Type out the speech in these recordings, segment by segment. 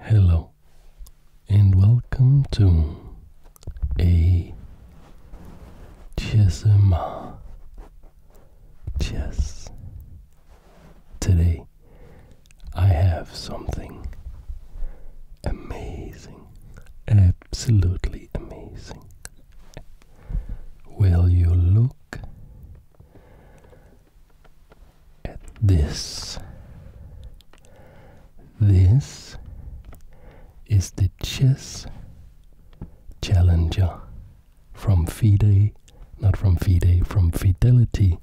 Hello and welcome to a Chessma Chess. Today I have something amazing, absolutely amazing. Will you look at this. This is the chess challenger from FIDE, not from FIDE, from Fidelity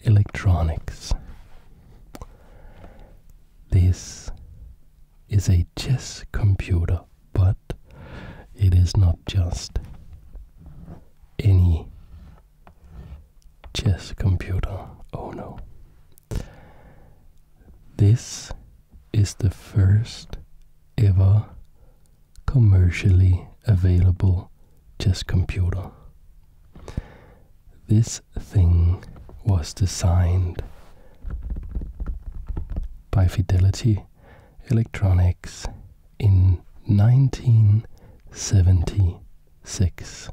Electronics. This is a chess computer, but it is not just any Chess computer, oh no. This is the first ever commercially available chess computer. This thing was designed by Fidelity Electronics in 1976.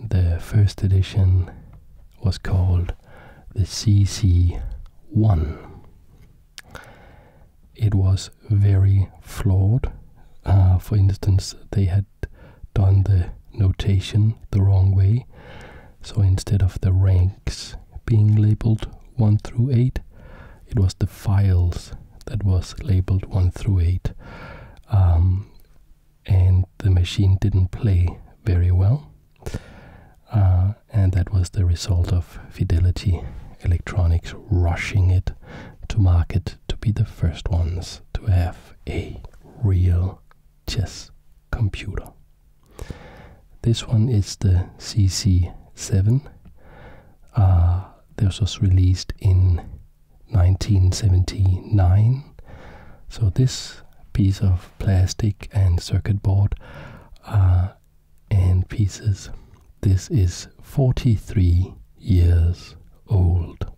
The first edition was called the CC1. It was very flawed. Uh, for instance, they had done the notation the wrong way. So instead of the ranks being labeled 1 through 8, it was the files that was labeled 1 through 8 um, and the machine didn't play very well uh, and that was the result of fidelity electronics rushing it to market to be the first ones to have a real chess computer this one is the cc7 uh, this was released in 1979. So this piece of plastic and circuit board uh, and pieces. This is 43 years old.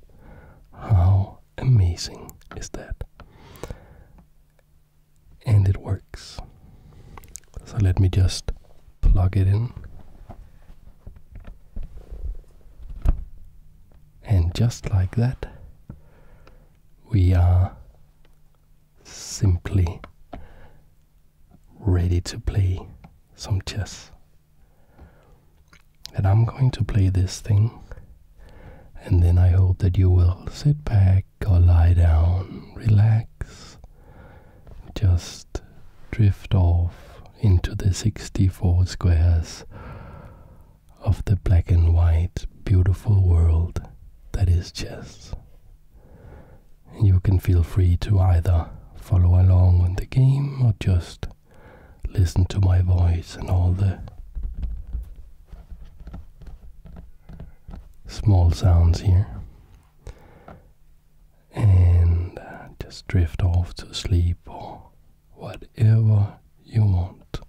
How amazing is that? And it works. So let me just plug it in and just like that we are simply ready to play some chess and i'm going to play this thing and then i hope that you will sit back or lie down relax just drift off into the 64 squares of the black and white beautiful world that is chess. You can feel free to either follow along on the game or just listen to my voice and all the small sounds here and just drift off to sleep or whatever you want.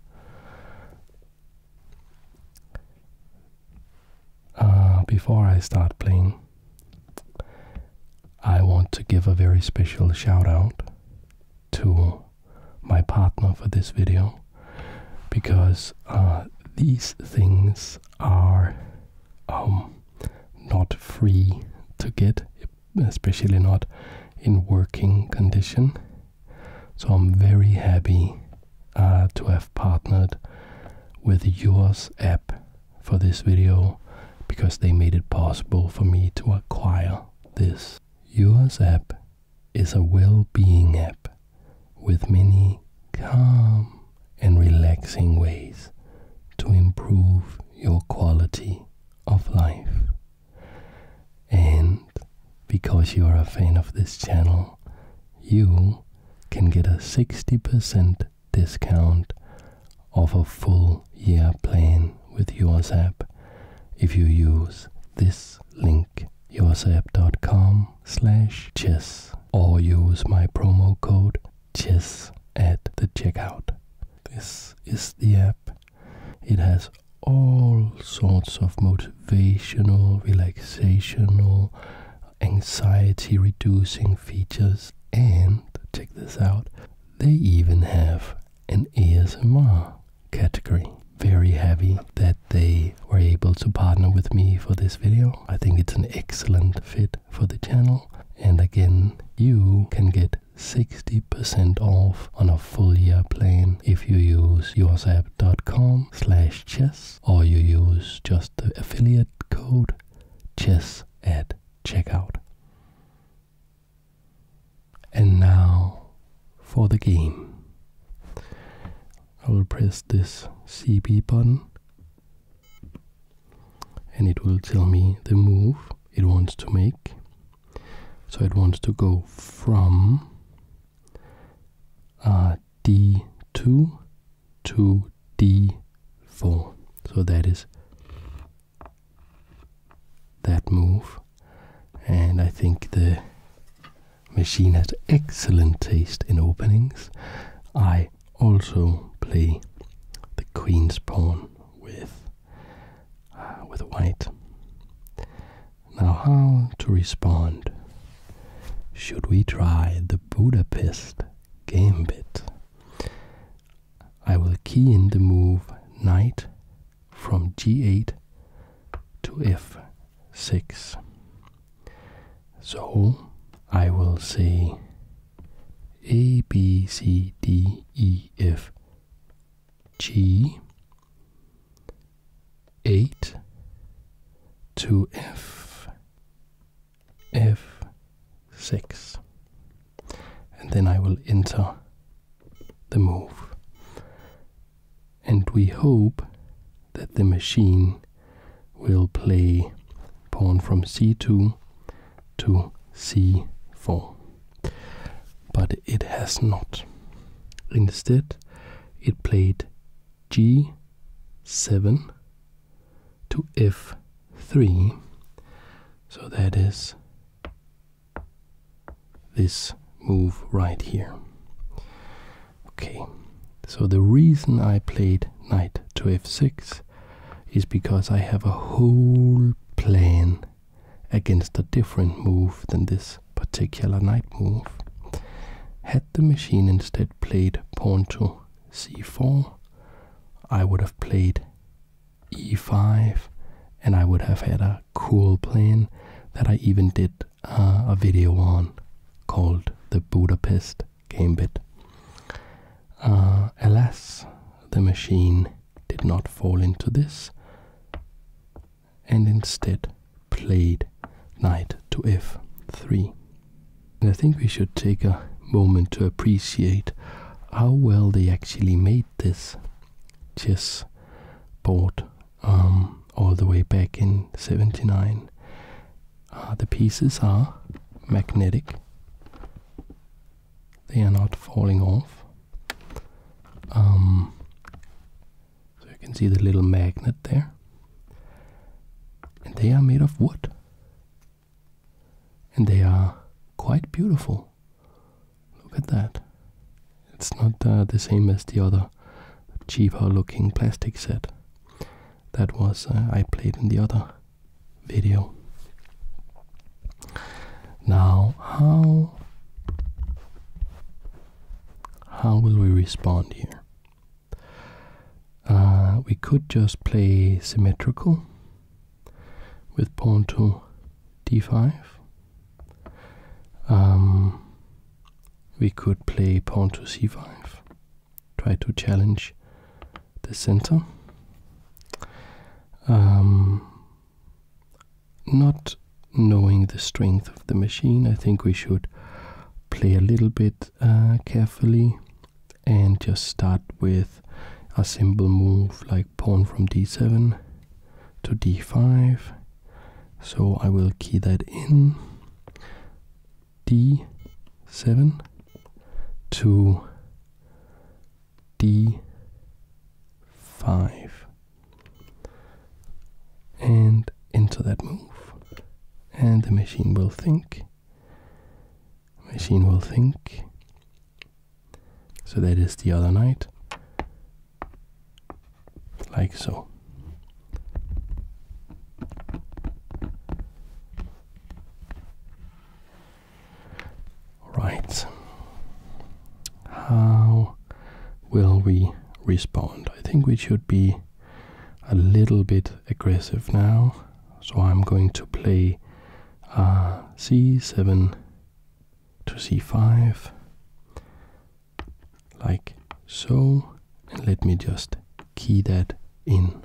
Uh, before I start playing, I want to give a very special shout out to my partner for this video because uh, these things are um, not free to get, especially not in working condition. So I'm very happy uh, to have partnered with yours app for this video because they made it possible for me to acquire this. Yours app is a well-being app with many calm and relaxing ways to improve your quality of life. And because you are a fan of this channel, you can get a 60% discount of a full year plan with USApp if you use this link yoursapp.com slash chess or use my promo code just at the checkout. This is the app. It has all sorts of motivational, relaxational, anxiety reducing features, and check this out, they even have an ASMR category. Very happy that they were able to partner with me for this video. I think it's an excellent fit for the channel. And again, you can get 60% off on a full year plan if you use yoursapp.com slash chess or you use just the affiliate code chess at checkout. And now for the game. I will press this CB button and it will tell me the move it wants to make. So it wants to go from uh, d2 to d4. So that is that move. And I think the machine has excellent taste in openings. I also play the queen's pawn with uh, with white. Now, how to respond? Should we try the Budapest gambit? I will key in the move knight from g8 to f6. So I will say a, B, C, D, E, F, G, 8 to F, F, 6. And then I will enter the move. And we hope that the machine will play pawn from c2 to c4. But it has not. Instead, it played g7 to f3. So that is this move right here. Okay, so the reason I played knight to f6 is because I have a whole plan against a different move than this particular knight move. Had the machine instead played pawn to c4, I would have played e5 and I would have had a cool plan that I even did uh, a video on called the Budapest Gambit. Uh, alas, the machine did not fall into this and instead played knight to f3. I think we should take a moment to appreciate how well they actually made this chess board um, all the way back in 79. Uh, the pieces are magnetic they are not falling off. Um, so you can see the little magnet there. And they are made of wood. And they are quite beautiful. Look at that. It's not uh, the same as the other cheaper looking plastic set that was uh, I played in the other video. Now, how how will we respond here? Uh, we could just play symmetrical with pawn to d5. Um, we could play pawn to c5, try to challenge the center. Um, not knowing the strength of the machine, I think we should play a little bit uh, carefully and just start with a simple move like pawn from d7 to d5. So I will key that in d7 to d5 and enter that move and the machine will think machine will think so that is the other knight like so Right. How will we respond? I think we should be a little bit aggressive now. So I'm going to play uh, c7 to c5 like so and let me just key that in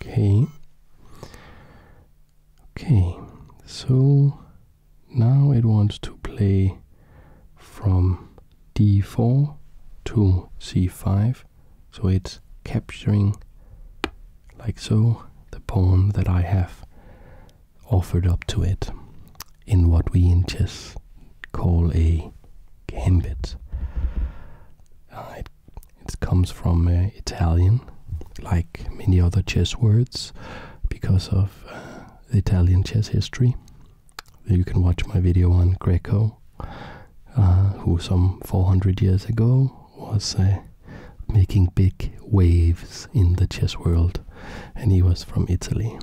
Okay. Okay, so now it wants to play from d4 to c5, so it's capturing, like so, the pawn that I have offered up to it in what we in chess call a gambit. Uh, it, comes from uh, Italian, like many other chess words, because of uh, the Italian chess history. You can watch my video on Greco, who some 400 years ago was uh, making big waves in the chess world, and he was from Italy.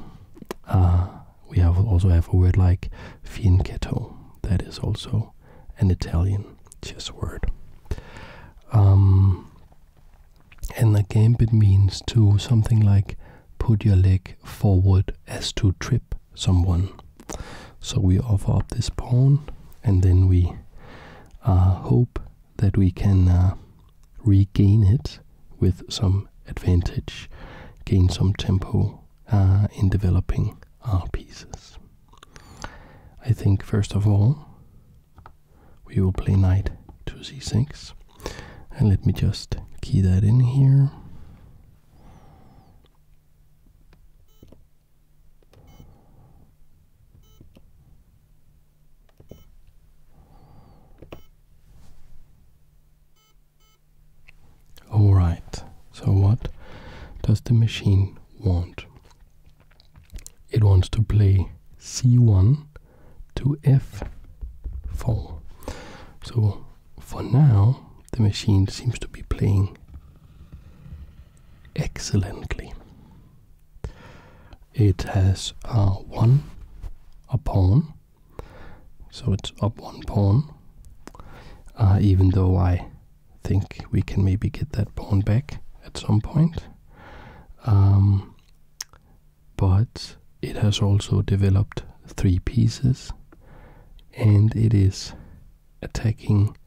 Uh, we have also have a word like fianchetto, that is also an Italian chess word. Um, and the it means to something like put your leg forward as to trip someone. So we offer up this pawn, and then we uh, hope that we can uh, regain it with some advantage, gain some tempo uh, in developing our pieces. I think first of all we will play knight to c6 and let me just key that in here. Alright, so what does the machine want? It wants to play c1 to f4. So for now, the machine seems to be playing excellently it has uh, one a pawn, so it's up one pawn. Uh, even though I think we can maybe get that pawn back at some point, um, but it has also developed three pieces, and it is attacking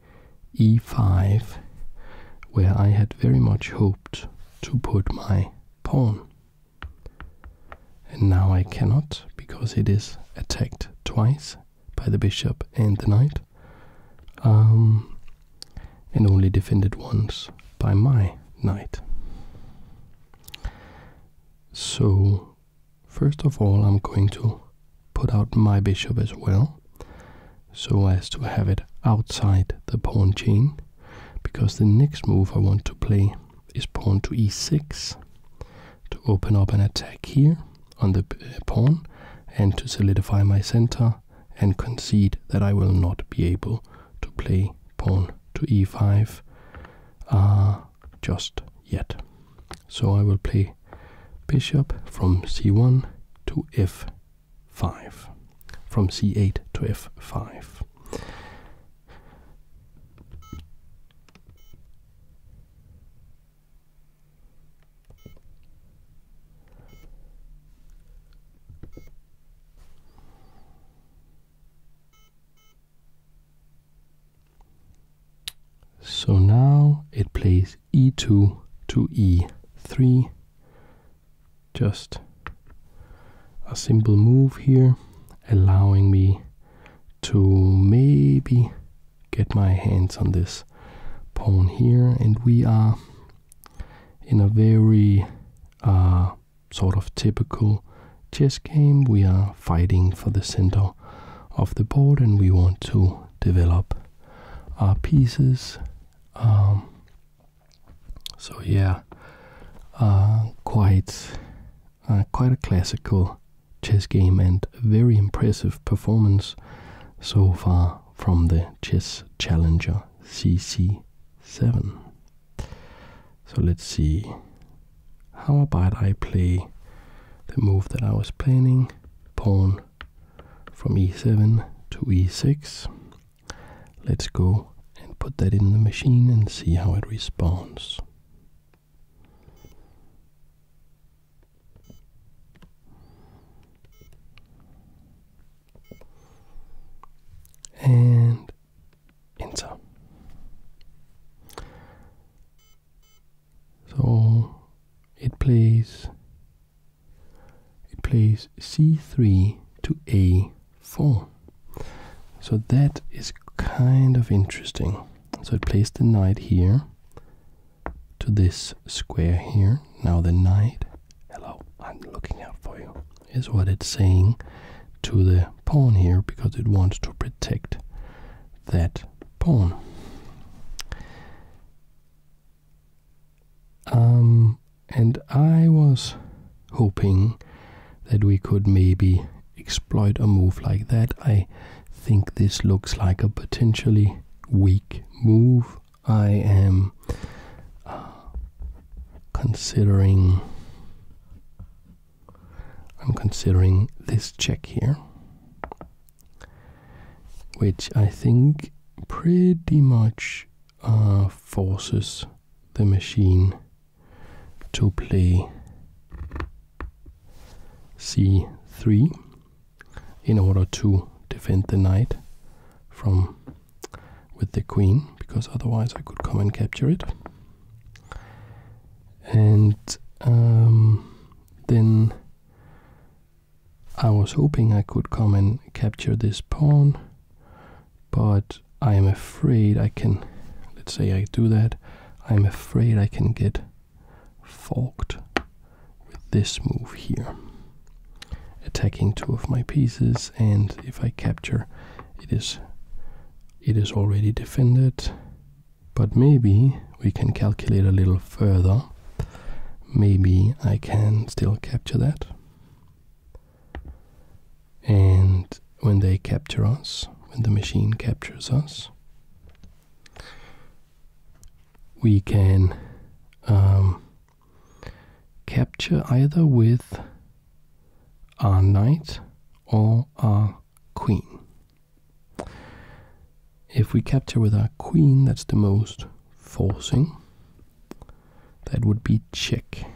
e5, where I had very much hope to put my pawn. And now I cannot because it is attacked twice by the bishop and the knight, um, and only defended once by my knight. So, first of all, I'm going to put out my bishop as well so as to have it outside the pawn chain because the next move I want to play is pawn to e6 to open up an attack here on the uh, pawn and to solidify my center and concede that I will not be able to play pawn to e5 uh, just yet. So I will play bishop from c1 to f 5 from c8 to f5. So now it plays e2 to e3 just a simple move here allowing me to maybe get my hands on this pawn here and we are in a very uh, sort of typical chess game we are fighting for the center of the board and we want to develop our pieces um, so yeah, uh, quite uh, quite a classical chess game and very impressive performance so far from the chess challenger CC7. So let's see. How about I play the move that I was planning? Pawn from e7 to e6 Let's go and put that in the machine and see how it responds. And enter. So it plays it plays c3 to a4. So that is kind of interesting. So it plays the knight here to this square here. Now the knight, hello, I'm looking out for you, is what it's saying to the pawn here because it wants to protect that pawn. Um, and I was hoping that we could maybe exploit a move like that. I think this looks like a potentially weak move. I am uh, considering I'm considering this check here which I think pretty much uh, forces the machine to play c3 in order to defend the knight from with the queen because otherwise I could come and capture it and um, then I was hoping I could come and capture this pawn, but I am afraid I can, let's say I do that, I'm afraid I can get forked with this move here. Attacking two of my pieces and if I capture it is it is already defended but maybe we can calculate a little further maybe I can still capture that and when they capture us, when the machine captures us, we can um, capture either with our knight or our queen. If we capture with our queen, that's the most forcing. That would be check.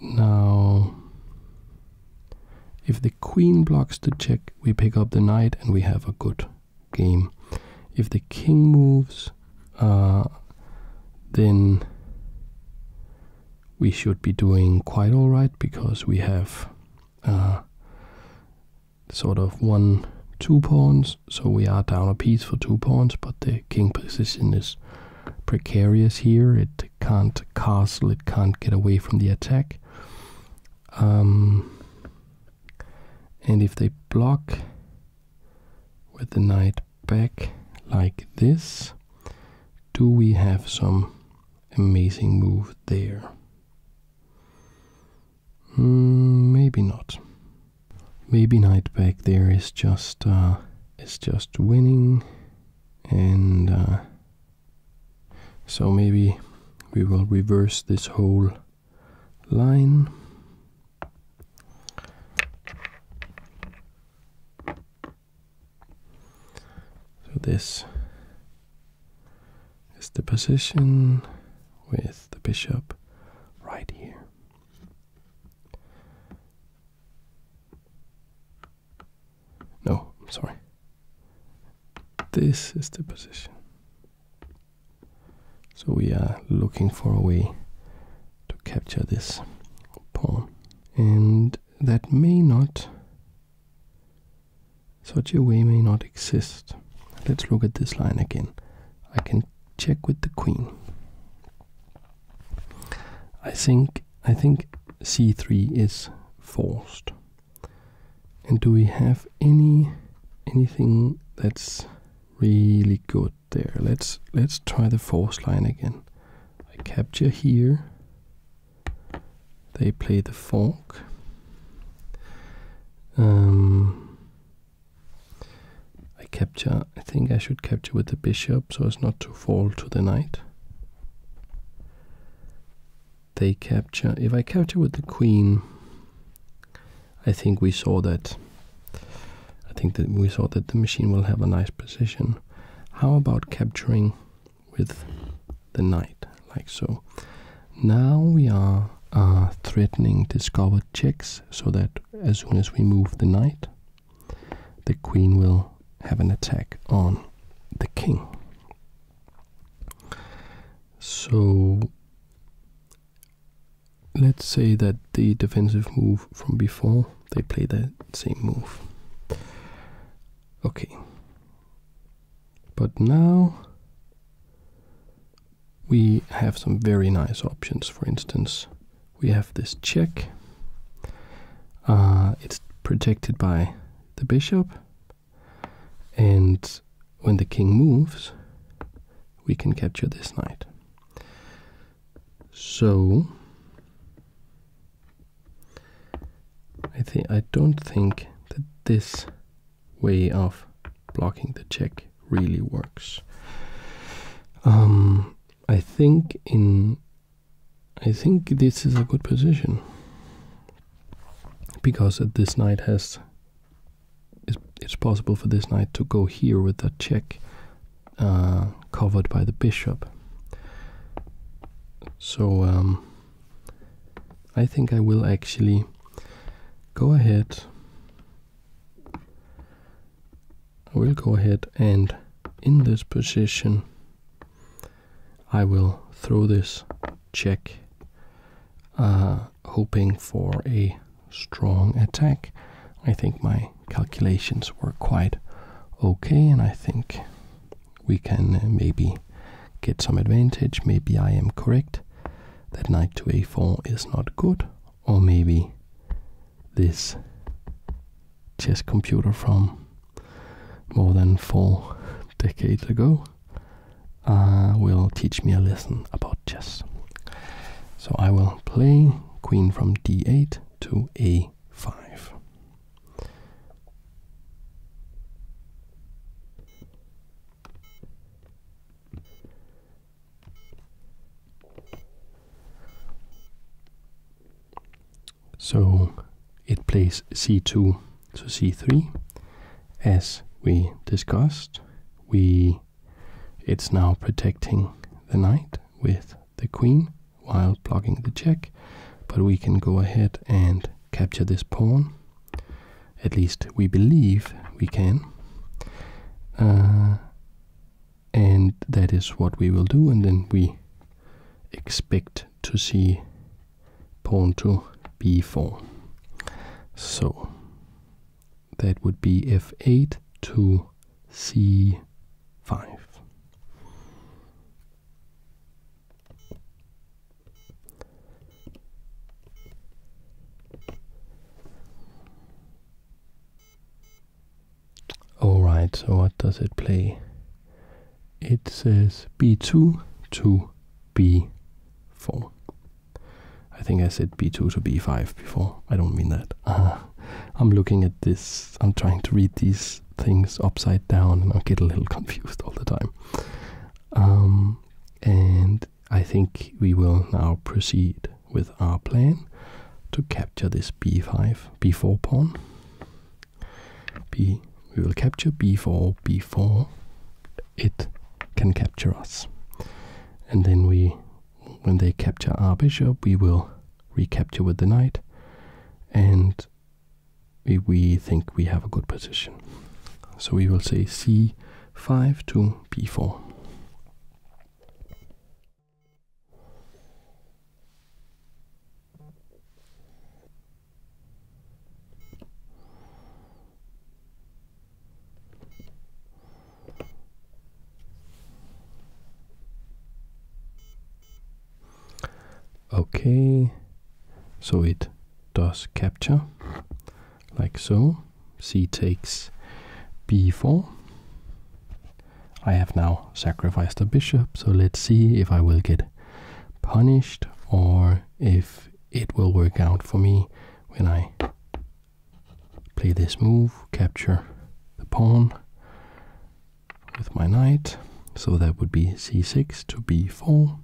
Now, if the queen blocks the check, we pick up the knight and we have a good game. If the king moves, uh, then we should be doing quite alright because we have uh, sort of one two pawns so we are down a piece for two pawns but the king position is precarious here it can't castle it can't get away from the attack um, and if they block with the knight back like this do we have some amazing move there Mm, maybe not. Maybe knight back there is just uh, is just winning, and uh, so maybe we will reverse this whole line. So this is the position with the bishop right here. No, sorry. This is the position. So we are looking for a way to capture this pawn. And that may not such a way may not exist. Let's look at this line again. I can check with the queen. I think I think c3 is forced. And do we have any anything that's really good there? Let's let's try the force line again. I capture here. They play the fork. Um, I capture, I think I should capture with the bishop so as not to fall to the knight. They capture, if I capture with the queen, I think we saw that, I think that we saw that the machine will have a nice position. How about capturing with the knight, like so? Now we are uh, threatening to discovered checks so that as soon as we move the knight, the queen will have an attack on the king. So let's say that the defensive move from before, they play the same move. Okay. But now we have some very nice options. For instance, we have this check. Uh, it's protected by the bishop. And when the king moves, we can capture this knight. So, I think I don't think that this way of blocking the check really works. Um, I think in I think this is a good position because this knight has it's, possible for this knight to go here with that check uh, covered by the bishop. So um, I think I will actually go ahead. I will go ahead and in this position, I will throw this check, uh, hoping for a strong attack. I think my calculations were quite okay, and I think we can uh, maybe get some advantage. Maybe I am correct that knight to a4 is not good, or maybe this chess computer from more than four decades ago uh, will teach me a lesson about chess. So I will play queen from d8 to a5. So it plays c2 to c3. As we discussed, we it's now protecting the knight with the queen while blocking the check, but we can go ahead and capture this pawn at least we believe we can. Uh, and that is what we will do, and then we expect to see pawn to b4. So that would be f8 to c5. Alright, so what does it play? It says b2 to b4. I think I said b2 to b5 before. I don't mean that. I'm looking at this, I'm trying to read these things upside down and I get a little confused all the time. Um, and I think we will now proceed with our plan to capture this b5, b4 pawn. B, we will capture b4, b4. It can capture us. And then we, when they capture our bishop, we will recapture with the knight. And we, we think we have a good position. So we will say c 5 to p 4 Okay, so it does capture like so. C takes b4. I have now sacrificed a bishop, so let's see if I will get punished or if it will work out for me when I play this move, capture the pawn with my knight. So that would be c6 to b4.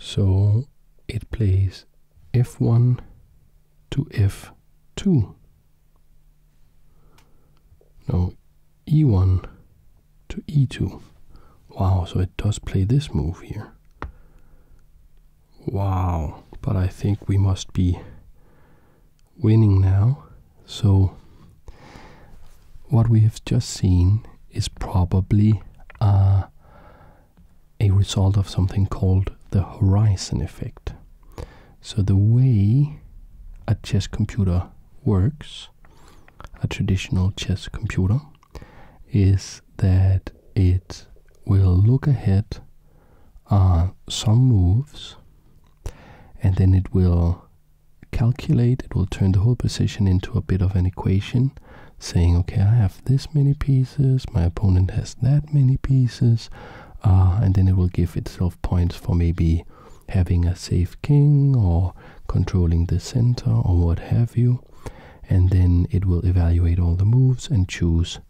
So it plays f1 to f2. No, e1 to e2. Wow, so it does play this move here. Wow, but I think we must be winning now. So what we have just seen is probably uh, a result of something called the horizon effect. So the way a chess computer works, a traditional chess computer, is that it will look ahead some moves and then it will calculate, it will turn the whole position into a bit of an equation saying, okay, I have this many pieces, my opponent has that many pieces, uh, and then it will give itself points for maybe having a safe king or controlling the center or what have you and then it will evaluate all the moves and choose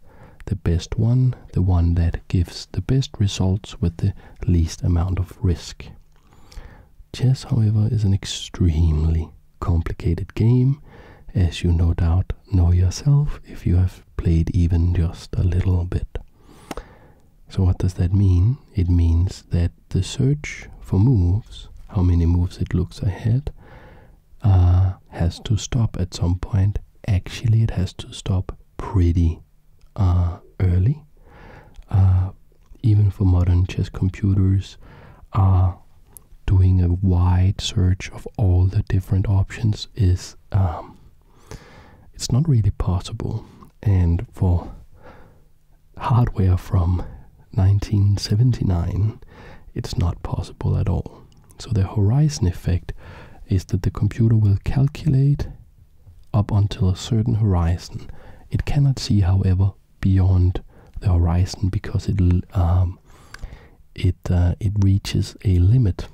the best one, the one that gives the best results with the least amount of risk. Chess, however, is an extremely complicated game, as you no doubt know yourself if you have played even just a little bit. So, what does that mean? It means that the search for moves, how many moves it looks ahead, uh, has to stop at some point. Actually, it has to stop pretty uh, early. Uh, even for modern chess computers, doing a wide search of all the different options is um, it's not really possible. And for hardware from 1979, it's not possible at all. So the horizon effect is that the computer will calculate up until a certain horizon. It cannot see, however, beyond the horizon because it um, it uh, it reaches a limit.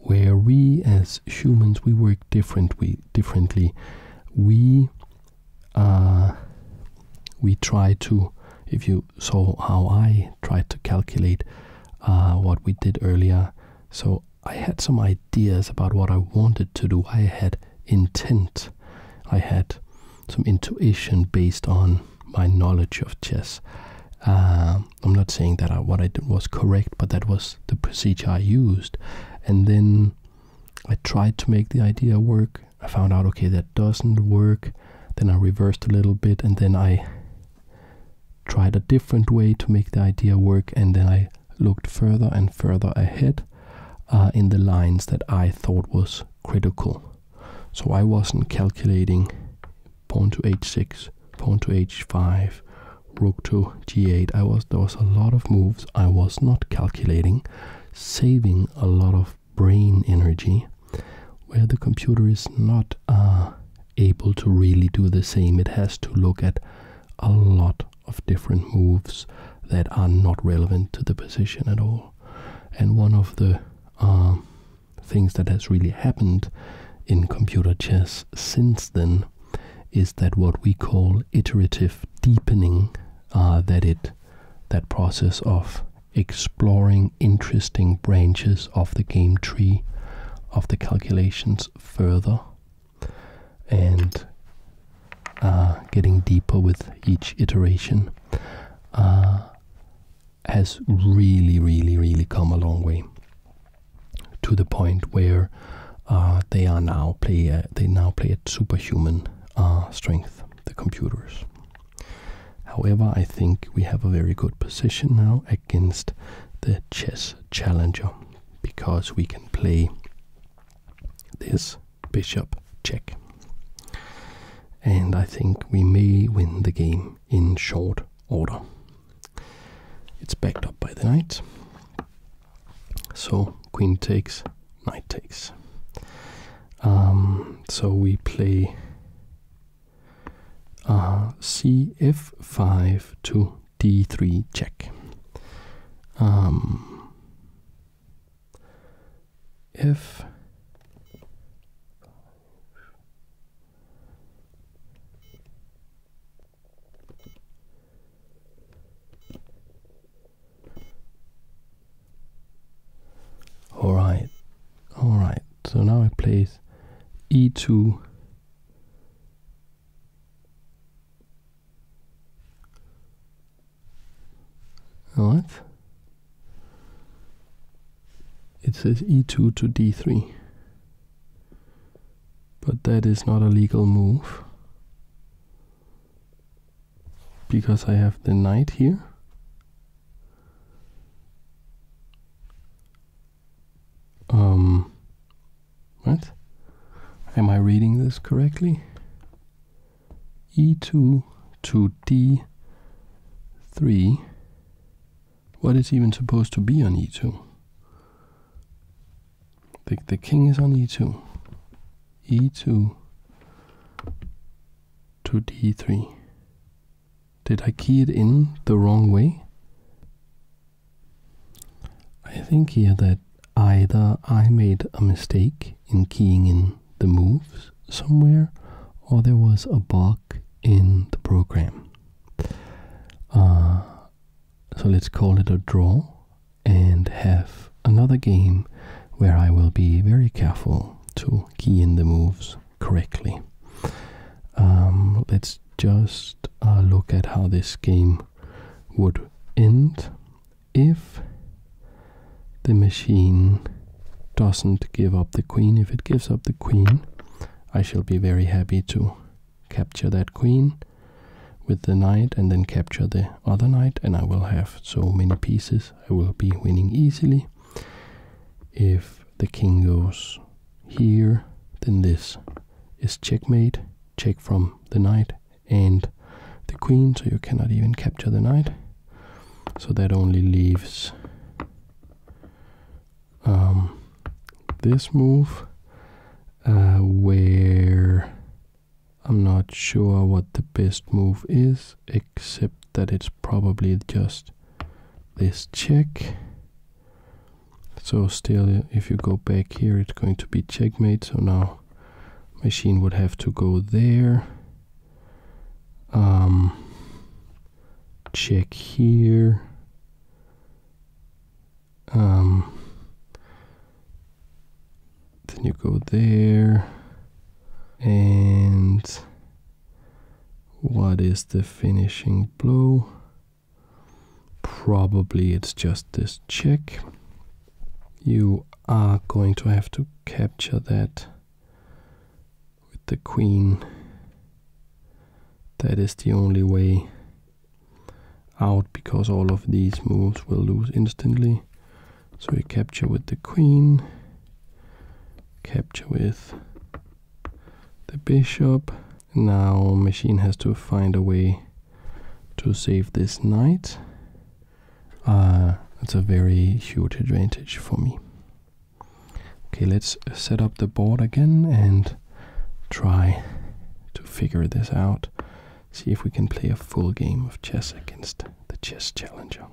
Where we as humans we work different differently. We uh, we try to, if you saw how I tried to calculate uh, what we did earlier, so I had some ideas about what I wanted to do. I had intent, I had some intuition based on my knowledge of chess. Um, I'm not saying that what I did was correct, but that was the procedure I used. And then I tried to make the idea work. I found out, okay, that doesn't work. Then I reversed a little bit and then I tried a different way to make the idea work. And then I looked further and further ahead uh, in the lines that I thought was critical. So I wasn't calculating pawn to h6, pawn to h5, rook to g8. I was there was a lot of moves I was not calculating saving a lot of brain energy where the computer is not uh, able to really do the same. It has to look at a lot of different moves that are not relevant to the position at all. And one of the uh, things that has really happened in computer chess since then is that what we call iterative deepening, uh, that it that process of exploring interesting branches of the game tree of the calculations further and uh, getting deeper with each iteration uh, has really, really, really come a long way to the point where uh, they are now play a, they now play at superhuman uh, strength, the computers. However, I think we have a very good position now against the chess challenger because we can play this bishop check. And I think we may win the game in short order. It's backed up by the knight. So queen takes, knight takes. Um, so we play R uh, c 5 to d3 check. if um, Alright, alright, so now it plays e2. Alright. It says e2 to d3. But that is not a legal move because I have the knight here. Um, what? Am I reading this correctly? e2 to d3. What is even supposed to be on e2? The, the king is on e2 e2 to d3. Did I key it in the wrong way? I think here that either I made a mistake in keying in the moves somewhere or there was a bug in the program. Uh, so let's call it a draw and have another game where I will be very careful to key in the moves correctly. Um, let's just uh, look at how this game would end if the machine doesn't give up the queen. If it gives up the queen, I shall be very happy to capture that queen with the knight and then capture the other knight and I will have so many pieces I will be winning easily. If the king goes here then this is checkmate, check from the knight and the queen so you cannot even capture the knight. So that only leaves um, this move uh, where I'm not sure what the best move is, except that it's probably just this check. So still, if you go back here, it's going to be checkmate. So now machine would have to go there. Um, check here. Um, then you go there. And what is the finishing blow? Probably it's just this check. You are going to have to capture that with the queen. That is the only way out because all of these moves will lose instantly. So we capture with the queen, capture with the bishop. Now machine has to find a way to save this knight. Uh, that's a very huge advantage for me. Okay, let's set up the board again and try to figure this out see if we can play a full game of chess against the chess challenger.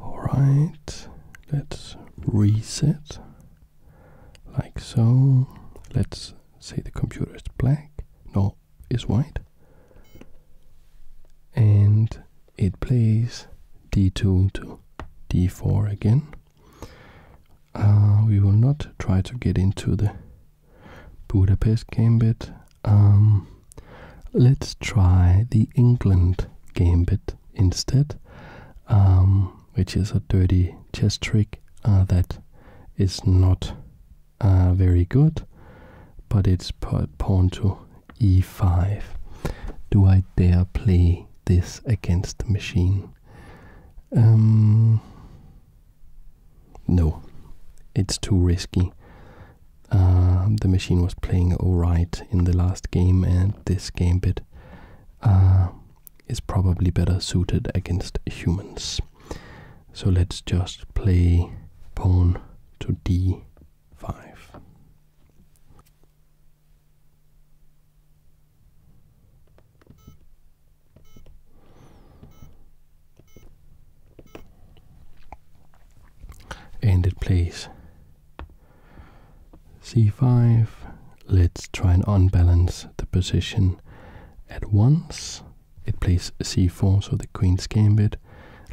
Alright, let's reset like so. Let's say the computer is black, no, is white, and it plays d2 to d4 again. Uh, we will not try to get into the Budapest Gambit um, let's try the England gambit instead, um, which is a dirty chess trick uh, that is not uh, very good, but it's pawn to e5. Do I dare play this against the machine? Um, no, it's too risky. Um, the machine was playing alright in the last game, and this game bit uh, is probably better suited against humans. So let's just play pawn to d5 and it plays c5. Let's try and unbalance the position at once. It plays c4, so the queen's gambit.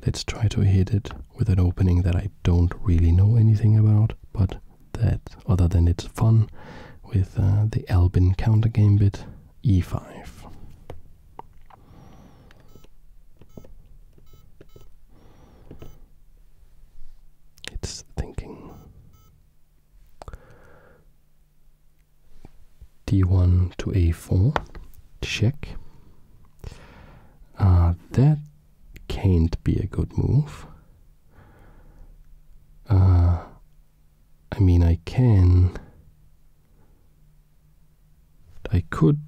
Let's try to hit it with an opening that I don't really know anything about, but that other than it's fun with uh, the Albin counter gambit e5. It's thinking d1 to a4, check. Uh, that can't be a good move. Uh, I mean, I can I could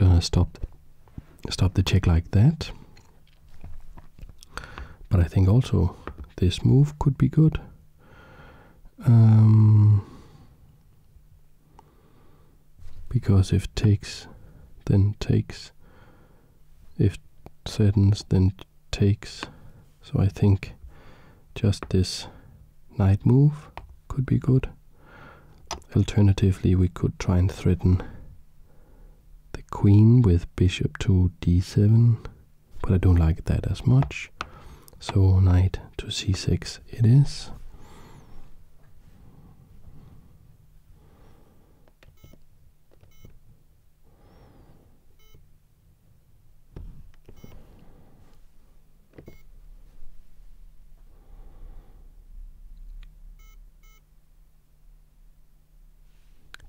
uh, stop stop the check like that. But I think also this move could be good. Um, because if takes, then takes. If threatens, then takes. So I think just this knight move could be good. Alternatively, we could try and threaten the queen with bishop to d7, but I don't like that as much. So knight to c6 it is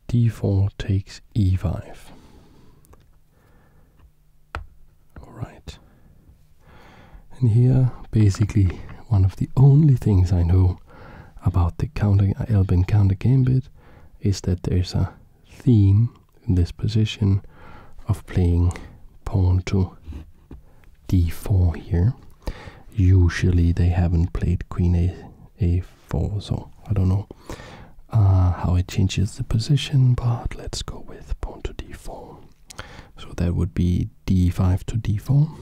d4 takes e5. Alright. And here, basically, one of the only things I know about the counter Albin counter gambit is that there's a theme in this position of playing pawn to d4 here. Usually they haven't played queen a, a4, so I don't know uh, how it changes the position, but let's go with pawn to d4. So that would be d5 to d4.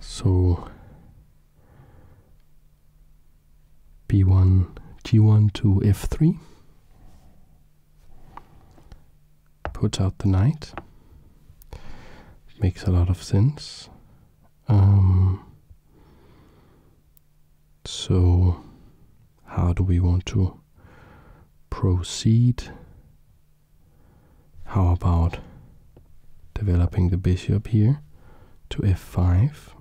So b1, g1 to f3. Puts out the knight. Makes a lot of sense. Um, so, how do we want to proceed? How about developing the bishop here to f5?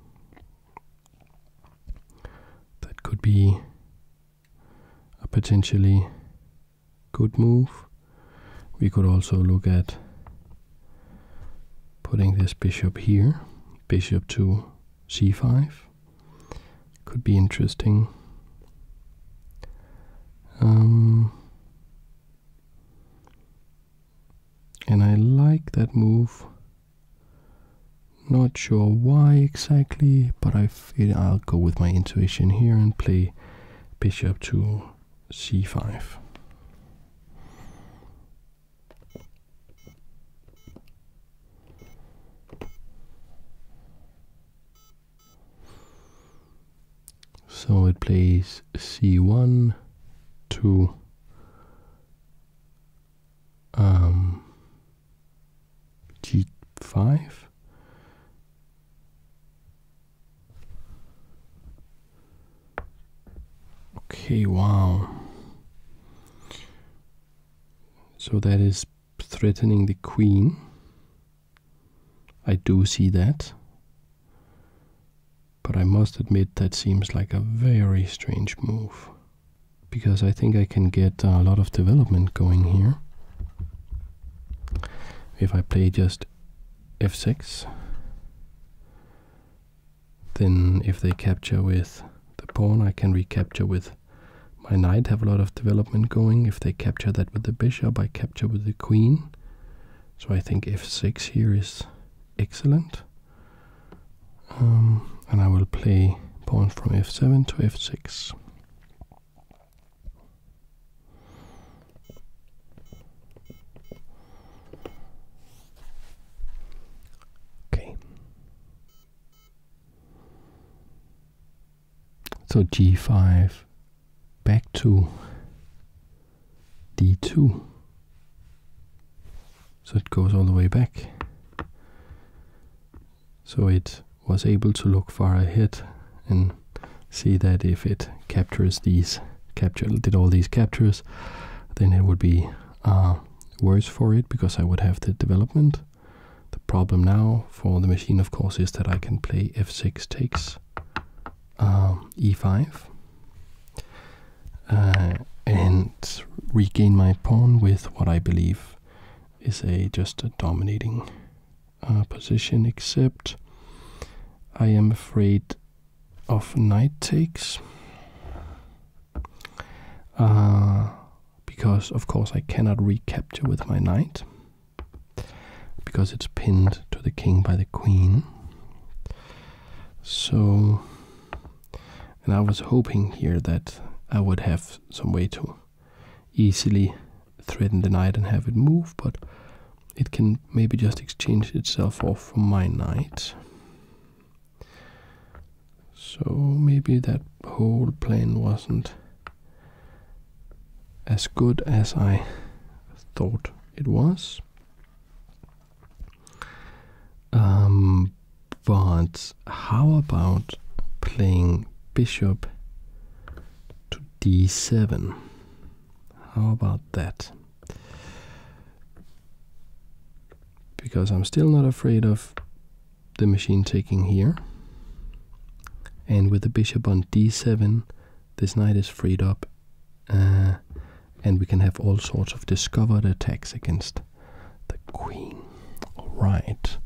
That could be a potentially good move. We could also look at putting this bishop here, bishop to c5. Could be interesting. Um, and I like that move. Not sure why exactly, but I feel I'll go with my intuition here and play bishop to c5. So it plays c1 to g5. Okay, wow. So that is threatening the queen. I do see that. But I must admit that seems like a very strange move. Because I think I can get a lot of development going here. If I play just f6, then if they capture with the pawn, I can recapture with my knight, have a lot of development going. If they capture that with the bishop, I capture with the queen. So I think f6 here is excellent. Um, and I will play pawn from f7 to f6. Okay. So g5 back to d2. So it goes all the way back. So it was able to look far ahead and see that if it captures these capture did all these captures then it would be uh, worse for it because I would have the development. The problem now for the machine of course is that I can play f6 takes um, e5 uh, and regain my pawn with what I believe is a just a dominating uh, position, except I am afraid of knight takes. Uh, because of course I cannot recapture with my knight because it's pinned to the king by the queen. So, and I was hoping here that I would have some way to easily threaten the knight and have it move, but it can maybe just exchange itself off for my knight. So maybe that whole plan wasn't as good as I thought it was. Um, but how about playing bishop to d7? How about that? Because I'm still not afraid of the machine taking here. And with the bishop on d7, this knight is freed up, uh, and we can have all sorts of discovered attacks against the queen. Alright,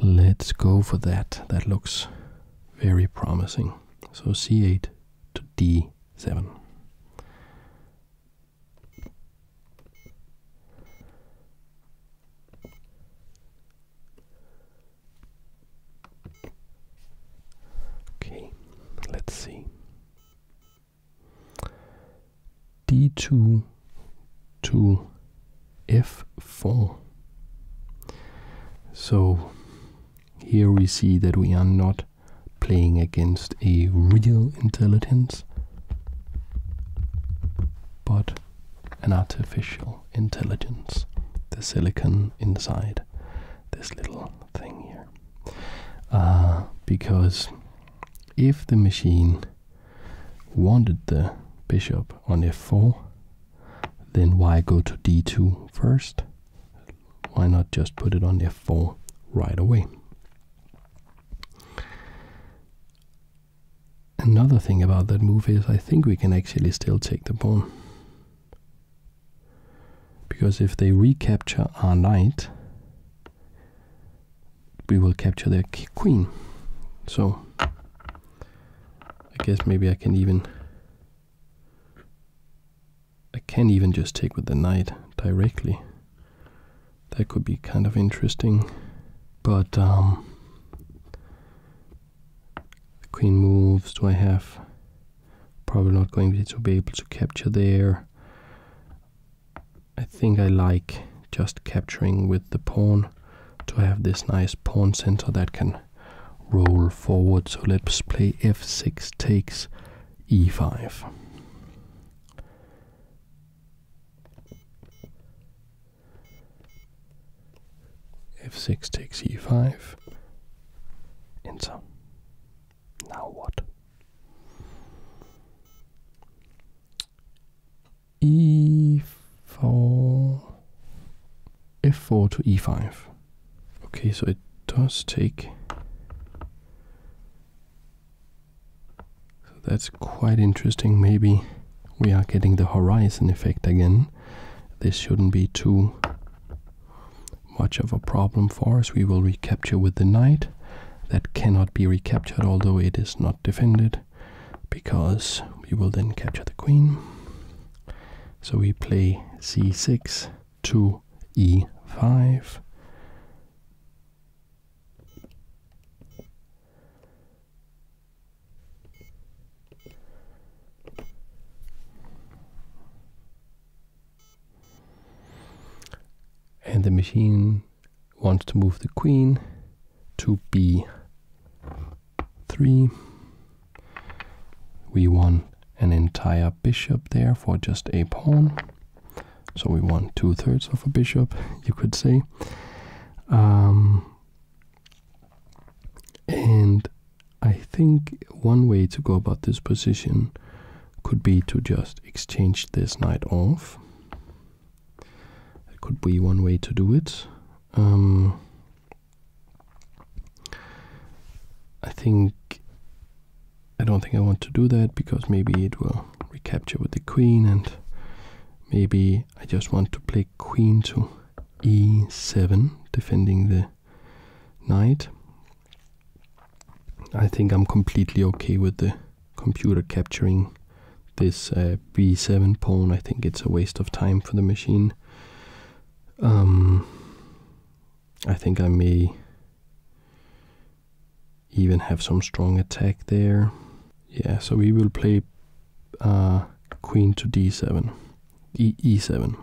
let's go for that. That looks very promising. So c8 to d7. Okay, let's see. D2 to F4. So here we see that we are not playing against a real intelligence, but an artificial intelligence, the silicon inside this little thing here. Uh, because if the machine wanted the bishop on f4, then why go to d2 first? Why not just put it on f4 right away? Another thing about that move is I think we can actually still take the pawn. Because if they recapture our knight, we will capture their queen. So, I guess maybe I can even... I can even just take with the knight directly. That could be kind of interesting. But, um... The queen moves. Do I have? Probably not going to be able to capture there. I think I like just capturing with the pawn to have this nice pawn center that can roll forward. So let's play f6 takes e5 f6 takes e5, enter. Now what? e4, f4 to e5. Okay, so it does take. So that's quite interesting. Maybe we are getting the horizon effect again. This shouldn't be too much of a problem for us. We will recapture with the knight. That cannot be recaptured, although it is not defended, because we will then capture the queen. So we play c6 to e5. And the machine wants to move the queen to b3. We want an entire bishop there for just a pawn. So we want two thirds of a bishop, you could say. Um, and I think one way to go about this position could be to just exchange this knight off. It could be one way to do it. Um, I think I don't think I want to do that because maybe it will recapture with the queen and maybe I just want to play queen to e7 defending the night. I think I'm completely okay with the computer capturing this uh, B7 pawn. I think it's a waste of time for the machine. Um, I think I may even have some strong attack there. Yeah, so we will play uh, queen to d7. E e7.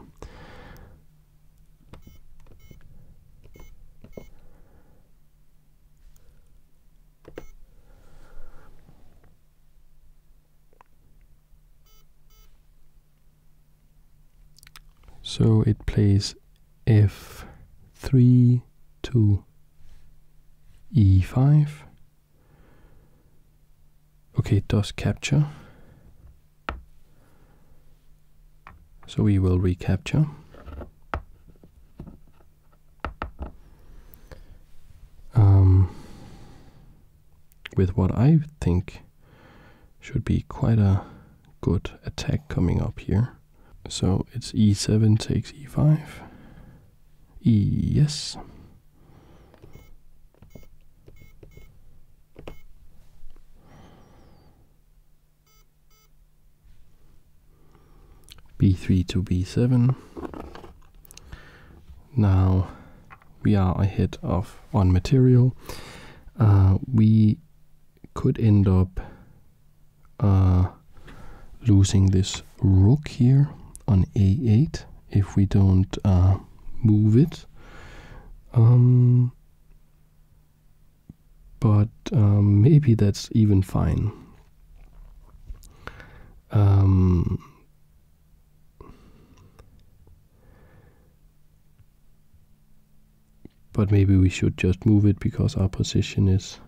So it plays f3 to e5 Okay, it does capture. So we will recapture. Um, with what I think should be quite a good attack coming up here. So it's e7 takes e5. E yes b3 to b7. Now we are ahead of on material. Uh, we could end up uh, losing this rook here on a8 if we don't uh, move it. Um, but um, maybe that's even fine. Um, but maybe we should just move it because our position is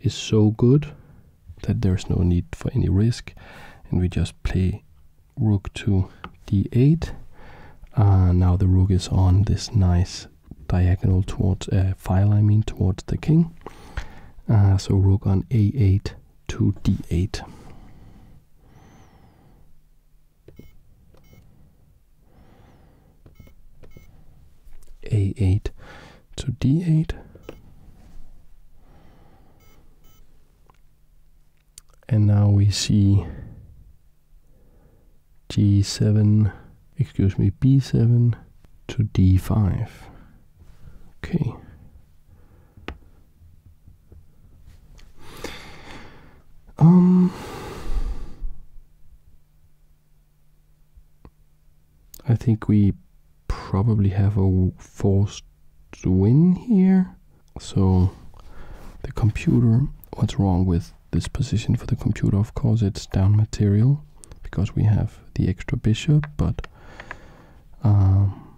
is so good that there's no need for any risk and we just play rook to d8. Uh, now the rook is on this nice diagonal towards uh, file, I mean, towards the king. Uh, so rook on a8 to d8. a8 to d8 and now we see g7 excuse me b7 to d5 okay um I think we probably have a forced to win here. So the computer, what's wrong with this position for the computer? Of course, it's down material because we have the extra bishop, but um,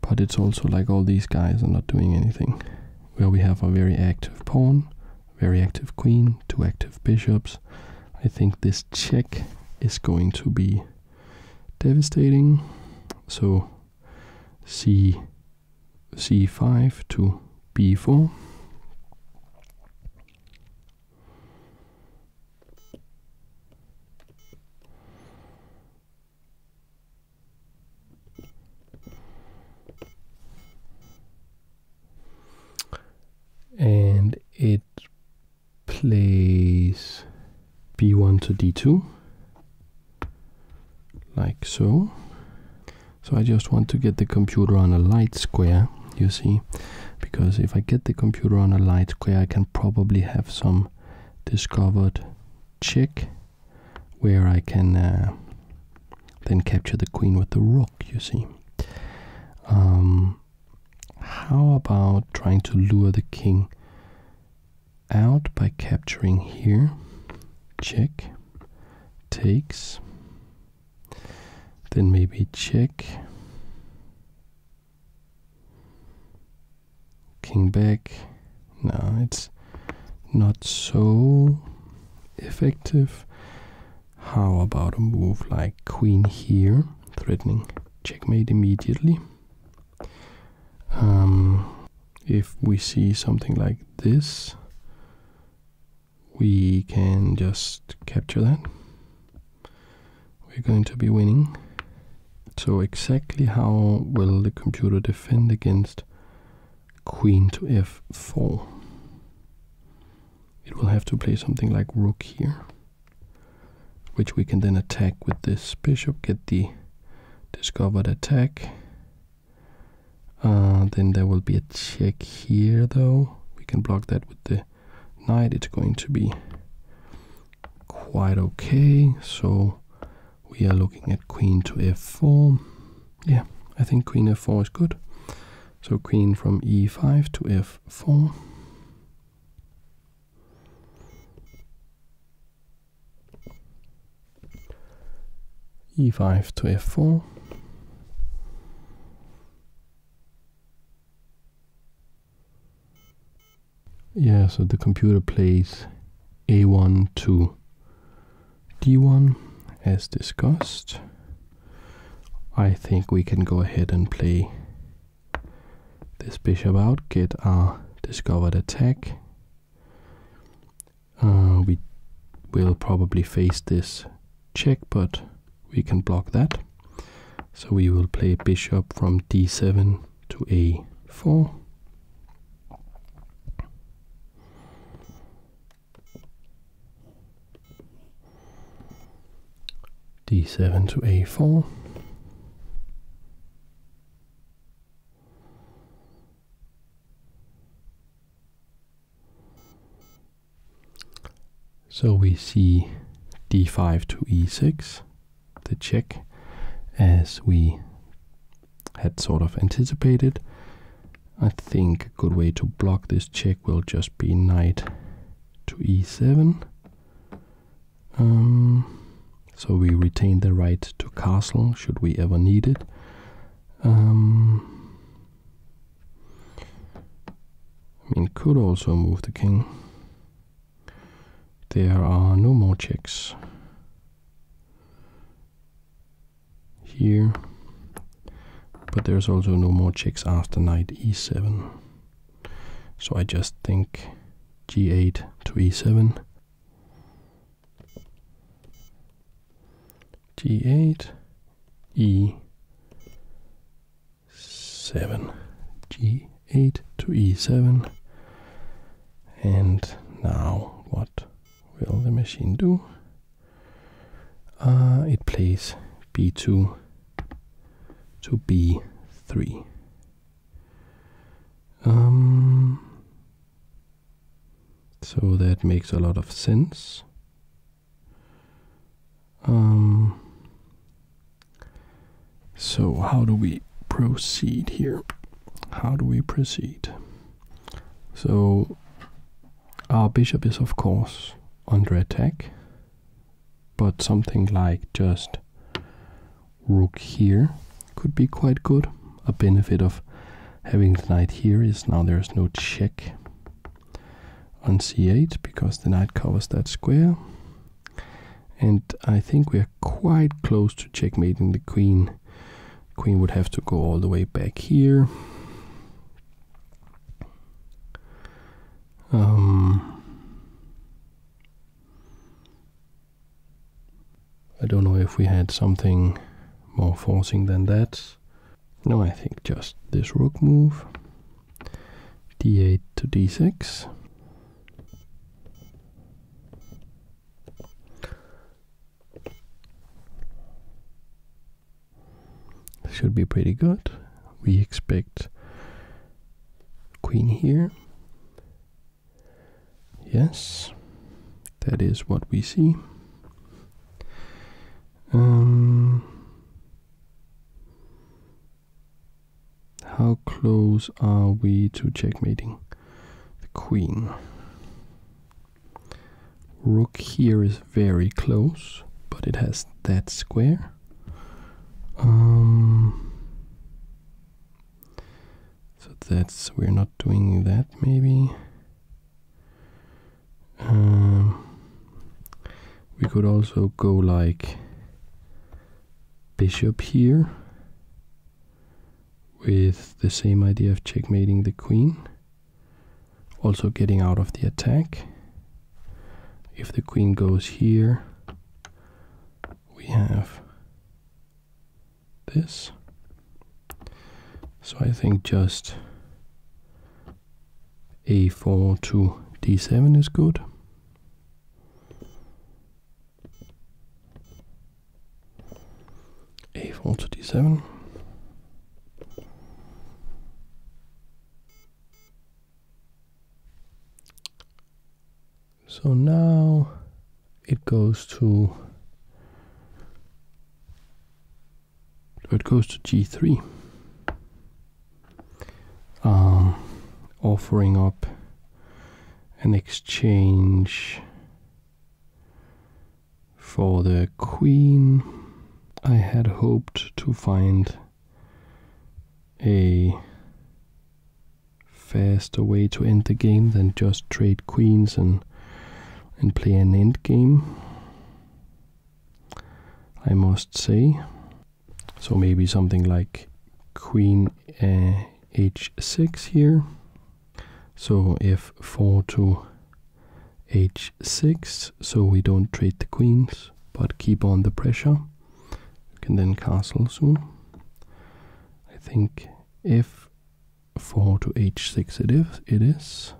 but it's also like all these guys are not doing anything. Where we have a very active pawn, very active queen, two active bishops. I think this check is going to be devastating. So c c5 to b4. And it place b1 to d2 like so so I just want to get the computer on a light square you see because if I get the computer on a light square I can probably have some discovered check where I can uh, then capture the queen with the rook you see um, how about trying to lure the king out by capturing here? Check. Takes. Then maybe check. King back. No, it's not so effective. How about a move like queen here, threatening checkmate immediately? Um, if we see something like this, we can just capture that. We're going to be winning. So exactly how will the computer defend against queen to f4? It will have to play something like rook here which we can then attack with this bishop, get the discovered attack. Uh, then there will be a check here though. We can block that with the knight. It's going to be quite okay. So we are looking at queen to f4. Yeah, I think queen f4 is good. So queen from e5 to f4 e5 to f4 yeah so the computer plays a1 to d1 as discussed I think we can go ahead and play this bishop out, get our discovered attack. Uh, we will probably face this check, but we can block that. So we will play bishop from d7 to a4 d7 to a4. So we see d5 to e6, the check, as we had sort of anticipated. I think a good way to block this check will just be knight to e7 um, so we retain the right to castle should we ever need it. Um, I mean, could also move the king. There are no more checks. Here, but there's also no more checks after knight e7. So I just think g8 to e7, g8, e7, g8 to e7, and now what will the machine do? Uh, it plays b2 to b3. Um, so that makes a lot of sense. Um, so how do we proceed here? How do we proceed? So our bishop is of course under attack but something like just rook here could be quite good. A benefit of having the knight here is now there's no check on c8 because the knight covers that square. And I think we are quite close to checkmating the queen. Queen would have to go all the way back here. Um, I don't know if we had something more forcing than that. No, I think just this rook move. d8 to d6. should be pretty good. We expect Queen here. Yes, that is what we see. Um, how close are we to checkmating the queen? Rook here is very close, but it has that square. Um, so that's we're not doing that maybe. Um, we could also go like bishop here with the same idea of checkmating the queen. Also getting out of the attack. If the queen goes here, we have this. So I think just a4 to d7 is good. a4 to d7. So now it goes to it goes to g3 um, offering up an exchange for the queen I had hoped to find a faster way to end the game than just trade queens and and play an end game. I must say. So maybe something like queen h6 eh, here. So f4 to h6, so we don't trade the queens, but keep on the pressure can then castle soon. I think f4 to h6 it is. It is.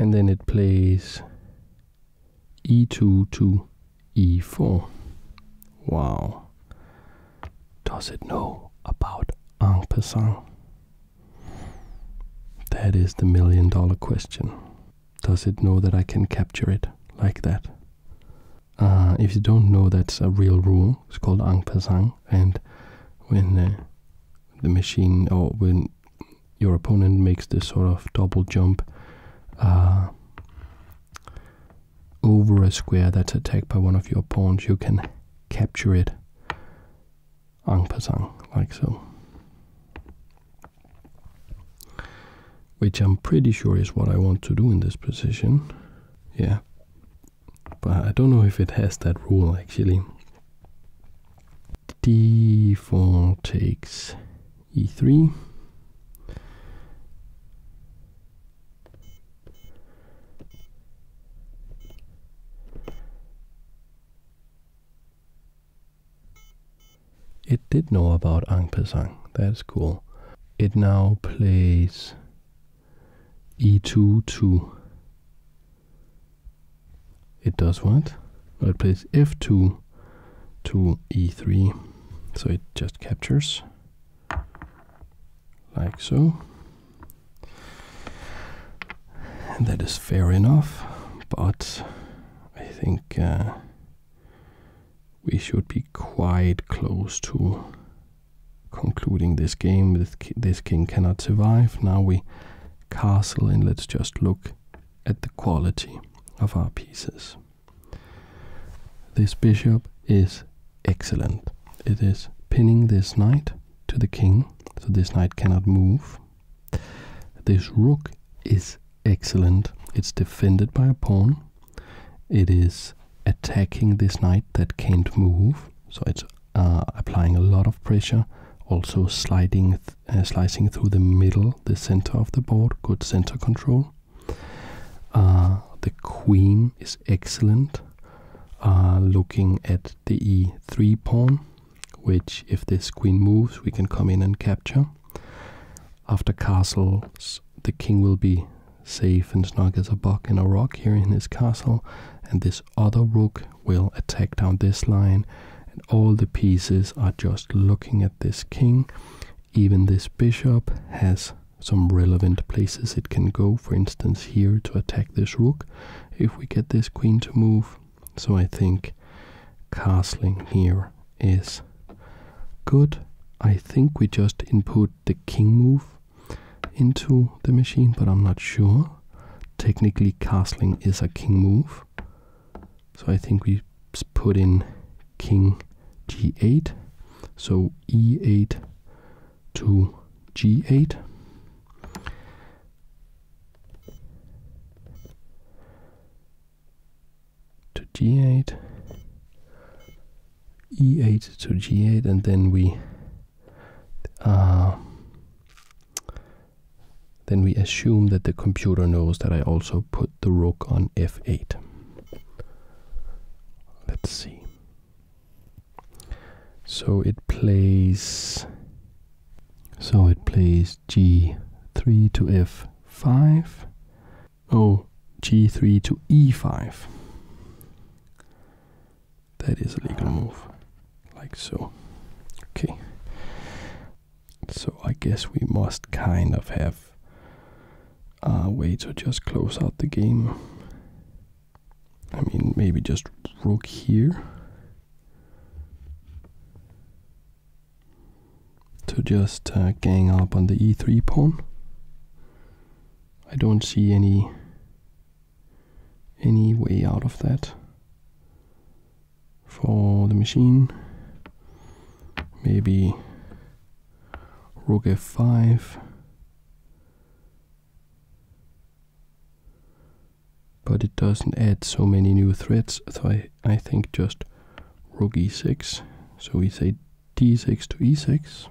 And then it plays e2 to e4. Wow. Does it know about ang pasang? That is the million dollar question. Does it know that I can capture it like that? Uh, if you don't know, that's a real rule. It's called ang pasang, And when uh, the machine or when your opponent makes this sort of double jump, uh, over a square that's attacked by one of your pawns, you can capture it Ang pasang like so. Which I'm pretty sure is what I want to do in this position. Yeah. But I don't know if it has that rule actually. d4 takes e3 It did know about Ang Pesang, that's cool. It now plays e2 2. It does what? No, it plays f2 to e3 so it just captures like so and that is fair enough but i think uh, we should be quite close to concluding this game this, this king cannot survive now we castle and let's just look at the quality of our pieces this bishop is excellent. It is pinning this knight to the king, so this knight cannot move. This rook is excellent. It's defended by a pawn. It is attacking this knight that can't move, so it's uh, applying a lot of pressure. Also sliding, uh, slicing through the middle, the center of the board. Good center control. Uh, the queen is excellent. Uh, looking at the e3 pawn, which if this queen moves, we can come in and capture. After castles, the king will be safe and snug as a bug in a rock here in his castle, and this other rook will attack down this line. And all the pieces are just looking at this king even this bishop has some relevant places it can go, for instance here to attack this rook if we get this queen to move. So I think castling here is good. I think we just input the king move into the machine, but I'm not sure. Technically castling is a king move. So I think we put in king g8 so e8 to g8 to g8 e8 to g8 and then we uh, then we assume that the computer knows that I also put the rook on f8. Let's see. So it plays so it plays g3 to f5. Oh, g3 to e5. That is a legal move, like so. Okay. So I guess we must kind of have are way to just close out the game. I mean, maybe just rook here. To just uh, gang up on the e3 pawn. I don't see any any way out of that for the machine. Maybe Rook f5. But it doesn't add so many new threats, so I, I think just rook e6. So we say d6 to e6.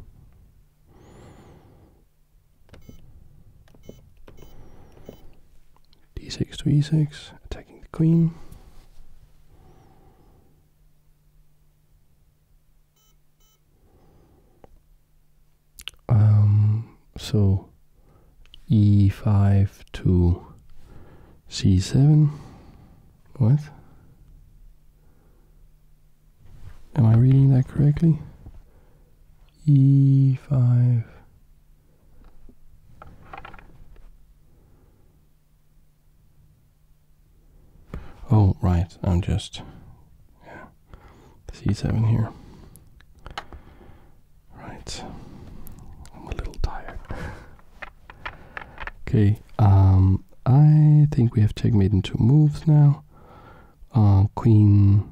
d6 to e6, attacking the queen. Um, so e5 to c7. What? Am I reading that correctly? e5 Oh, right, I'm just. Yeah, C7 here. Right, I'm a little tired. okay, um, I think we have checkmate in two moves now. Uh, queen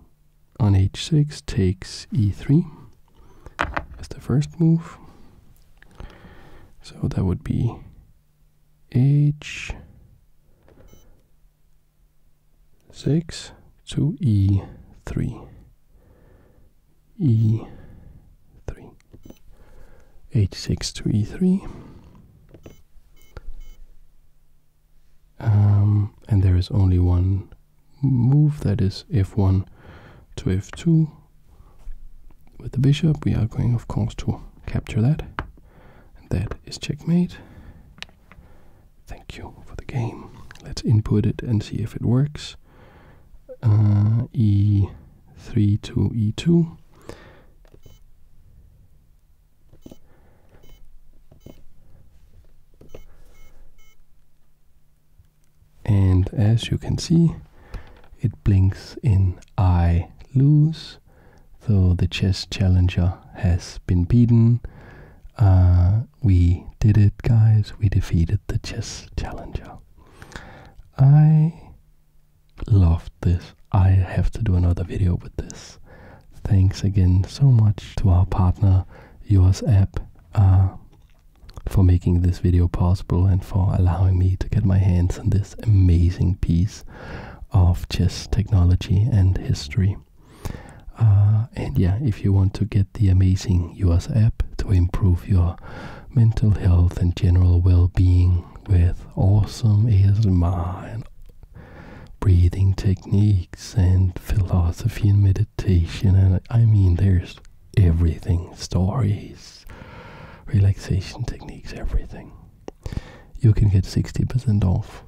on h6 takes e3. That's the first move. So that would be h six to e three e three h six to e three um, and there is only one move that is f1 to f2 with the bishop, we are going, of course, to capture that. And that is checkmate. Thank you for the game. Let's input it and see if it works. Uh, e3 to e2. And as you can see, it blinks in I lose, so the chess challenger has been beaten. Uh, we did it, guys. We defeated the chess challenger. I loved this. I have to do another video with this. Thanks again so much to our partner, Yours App, uh, for making this video possible and for allowing me to get my hands on this amazing piece of chess technology and history. Uh, and yeah, if you want to get the amazing US app to improve your mental health and general well being with awesome is and breathing techniques and philosophy and meditation, and I mean, there's everything stories, relaxation techniques, everything. You can get 60% off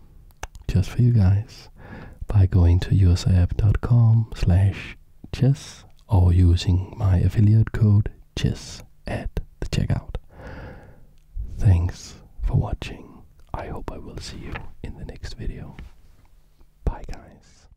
just for you guys by going to yoursapp.com slash chess or using my affiliate code chess at the checkout. Thanks for watching. I hope I will see you in the next video. Bye guys.